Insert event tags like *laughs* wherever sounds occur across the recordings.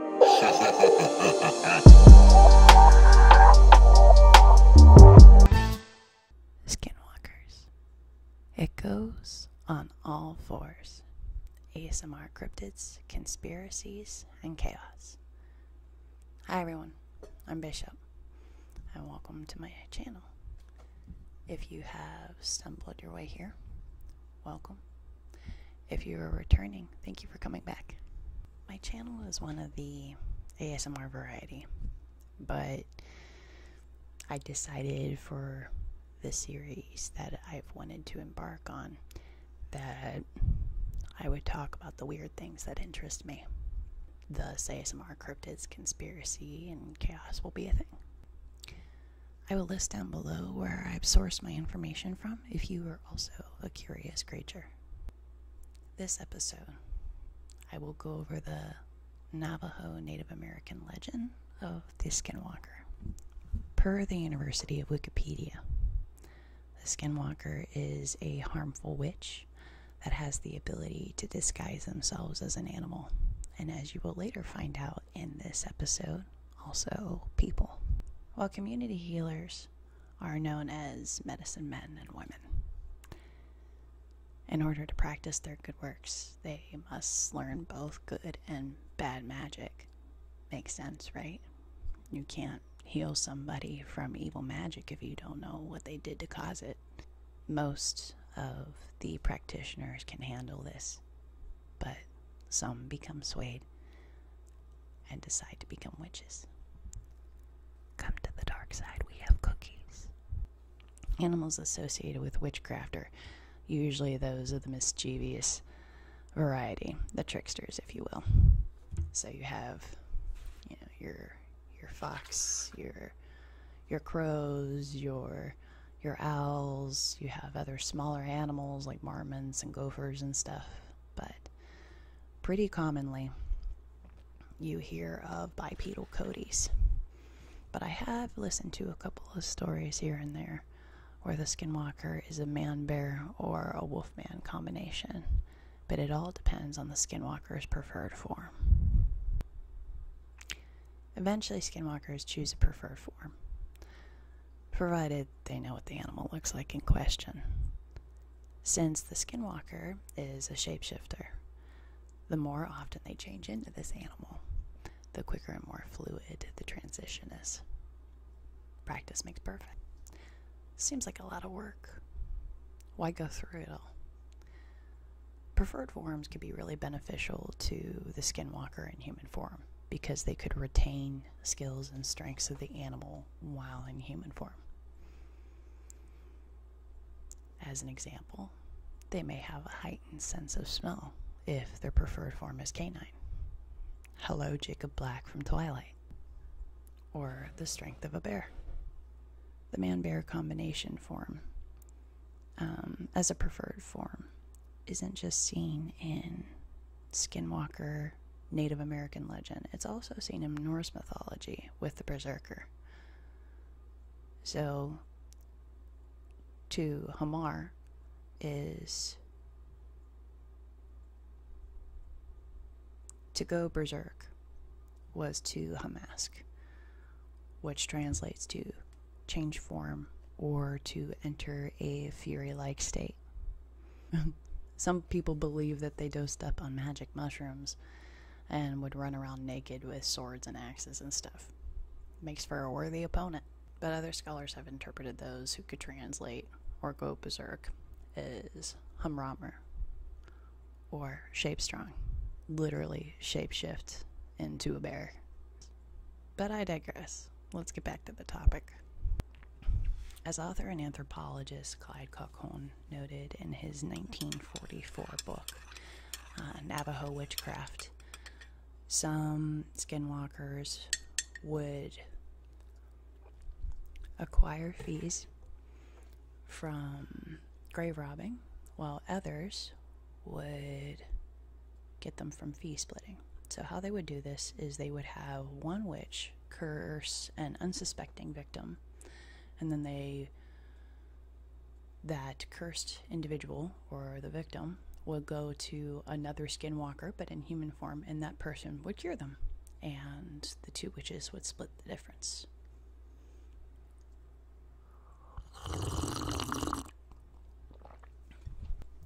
*laughs* Skinwalkers. It goes on all fours. ASMR cryptids, conspiracies, and chaos. Hi everyone, I'm Bishop, and welcome to my channel. If you have stumbled your way here, welcome if you are returning, thank you for coming back. My channel is one of the ASMR variety, but I decided for the series that I've wanted to embark on that I would talk about the weird things that interest me. The ASMR cryptids, conspiracy, and chaos will be a thing. I will list down below where I've sourced my information from if you are also a curious creature. This episode, I will go over the Navajo Native American legend of the Skinwalker. Per the University of Wikipedia, the Skinwalker is a harmful witch that has the ability to disguise themselves as an animal, and as you will later find out in this episode, also people. While community healers are known as medicine men and women. In order to practice their good works, they must learn both good and bad magic. Makes sense, right? You can't heal somebody from evil magic if you don't know what they did to cause it. Most of the practitioners can handle this, but some become swayed and decide to become witches. Come to the dark side, we have cookies. Animals associated with witchcraft are usually those of the mischievous variety, the tricksters, if you will. So you have, you know, your your fox, your your crows, your your owls. You have other smaller animals like marmots and gophers and stuff but pretty commonly you hear of bipedal coatis. But I have listened to a couple of stories here and there where the skinwalker is a man bear or a wolf man combination, but it all depends on the skinwalker's preferred form. Eventually, skinwalkers choose a preferred form provided they know what the animal looks like in question. Since the skinwalker is a shapeshifter, the more often they change into this animal, the quicker and more fluid the transition is. Practice makes perfect. Seems like a lot of work. Why go through it all? Preferred forms could be really beneficial to the skinwalker in human form because they could retain skills and strengths of the animal while in human form. As an example, they may have a heightened sense of smell if their preferred form is canine. Hello, Jacob Black from Twilight. Or the strength of a bear. The man bear combination form um, as a preferred form isn't just seen in skinwalker, Native American legend. It's also seen in Norse mythology with the berserker. So, to Hamar is to go berserk was to Hamask, which translates to change form or to enter a fury like state. *laughs* Some people believe that they dosed up on magic mushrooms and would run around naked with swords and axes and stuff. Makes for a worthy opponent. But other scholars have interpreted those who could translate or go berserk as Humrammer or Shapestrong. Literally shapeshift into a bear. But I digress. Let's get back to the topic. As author and anthropologist Clyde Cochon noted in his 1944 book, uh, Navajo Witchcraft, some skinwalkers would acquire fees from grave robbing, while others would get them from fee splitting. So, how they would do this is they would have one witch curse an unsuspecting victim, and then they that cursed individual or the victim would go to another skinwalker, but in human form, and that person would cure them, and the two witches would split the difference.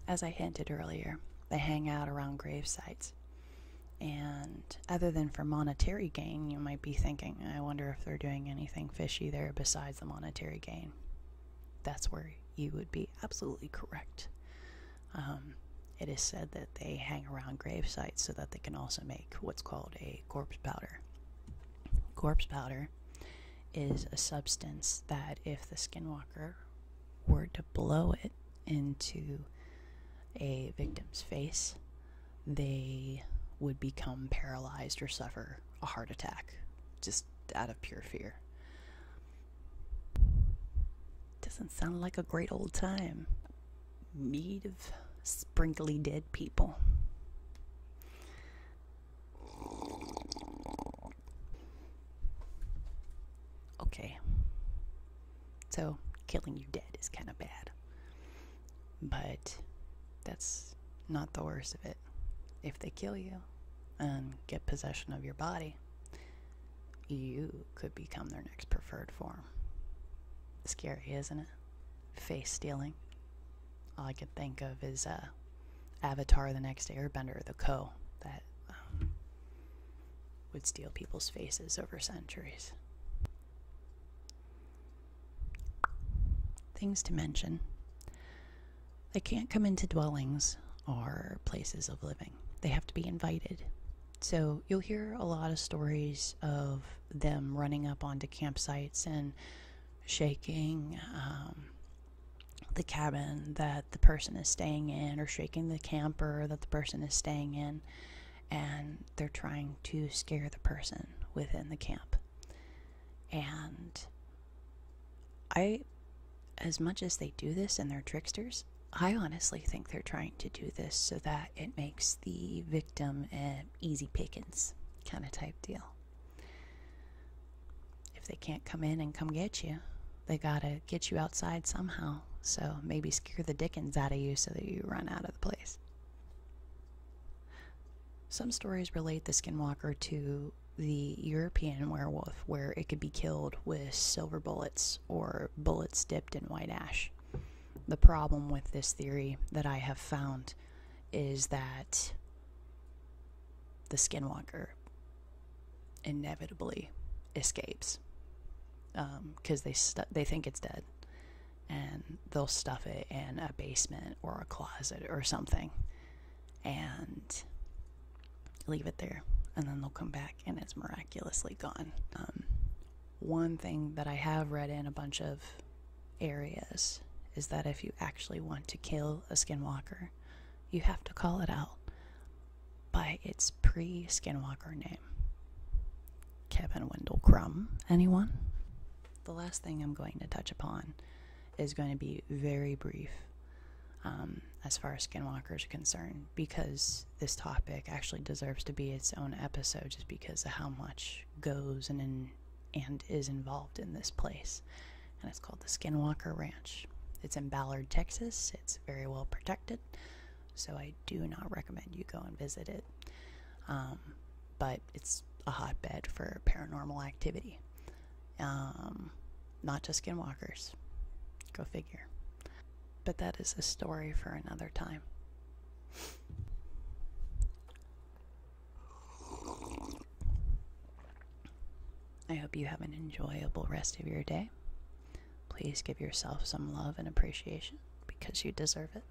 As I hinted earlier, they hang out around grave sites. And other than for monetary gain, you might be thinking, I wonder if they're doing anything fishy there besides the monetary gain. That's where you would be absolutely correct. Um, it is said that they hang around grave sites so that they can also make what's called a corpse powder. Corpse powder is a substance that, if the skinwalker were to blow it into a victim's face, they would become paralyzed or suffer a heart attack just out of pure fear. Doesn't sound like a great old time. Mead of sprinkly dead people. Okay. So killing you dead is kind of bad. But that's not the worst of it. If they kill you and get possession of your body, you could become their next preferred form. Scary, isn't it? Face stealing. All I can think of is uh, Avatar The Next Airbender, the Co. That um, would steal people's faces over centuries. Things to mention they can't come into dwellings or places of living, they have to be invited. So you'll hear a lot of stories of them running up onto campsites and shaking um, the cabin that the person is staying in or shaking the camper that the person is staying in and they're trying to scare the person within the camp. And I as much as they do this and they're tricksters, I honestly think they're trying to do this so that it makes the victim an easy pickins kind of type deal if they can't come in and come get you, they gotta get you outside somehow. So maybe scare the dickens out of you so that you run out of the place. Some stories relate the skinwalker to the European werewolf, where it could be killed with silver bullets or bullets dipped in white ash. The problem with this theory that I have found is that the skinwalker inevitably escapes because um, they they think it's dead, and they'll stuff it in a basement or a closet or something, and leave it there, and then they'll come back and it's miraculously gone. Um, one thing that I have read in a bunch of areas is that if you actually want to kill a skinwalker, you have to call it out by its pre Skinwalker name. Kevin Wendell Crumb, anyone? The last thing I'm going to touch upon is going to be very brief um, as far as Skinwalkers are concerned because this topic actually deserves to be its own episode just because of how much goes and, and is involved in this place and it's called the Skinwalker Ranch. It's in Ballard, Texas. It's very well protected, so I do not recommend you go and visit it. Um, but it's a hotbed for paranormal activity, um, not just skinwalkers. Go figure. But that is a story for another time. I hope you have an enjoyable rest of your day. Please give yourself some love and appreciation because you deserve it.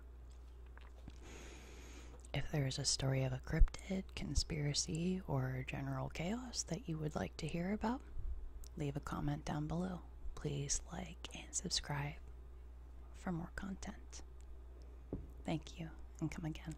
If there is a story of a cryptid, conspiracy, or general chaos that you would like to hear about, leave a comment down below. Please like and subscribe for more content. Thank you and come again.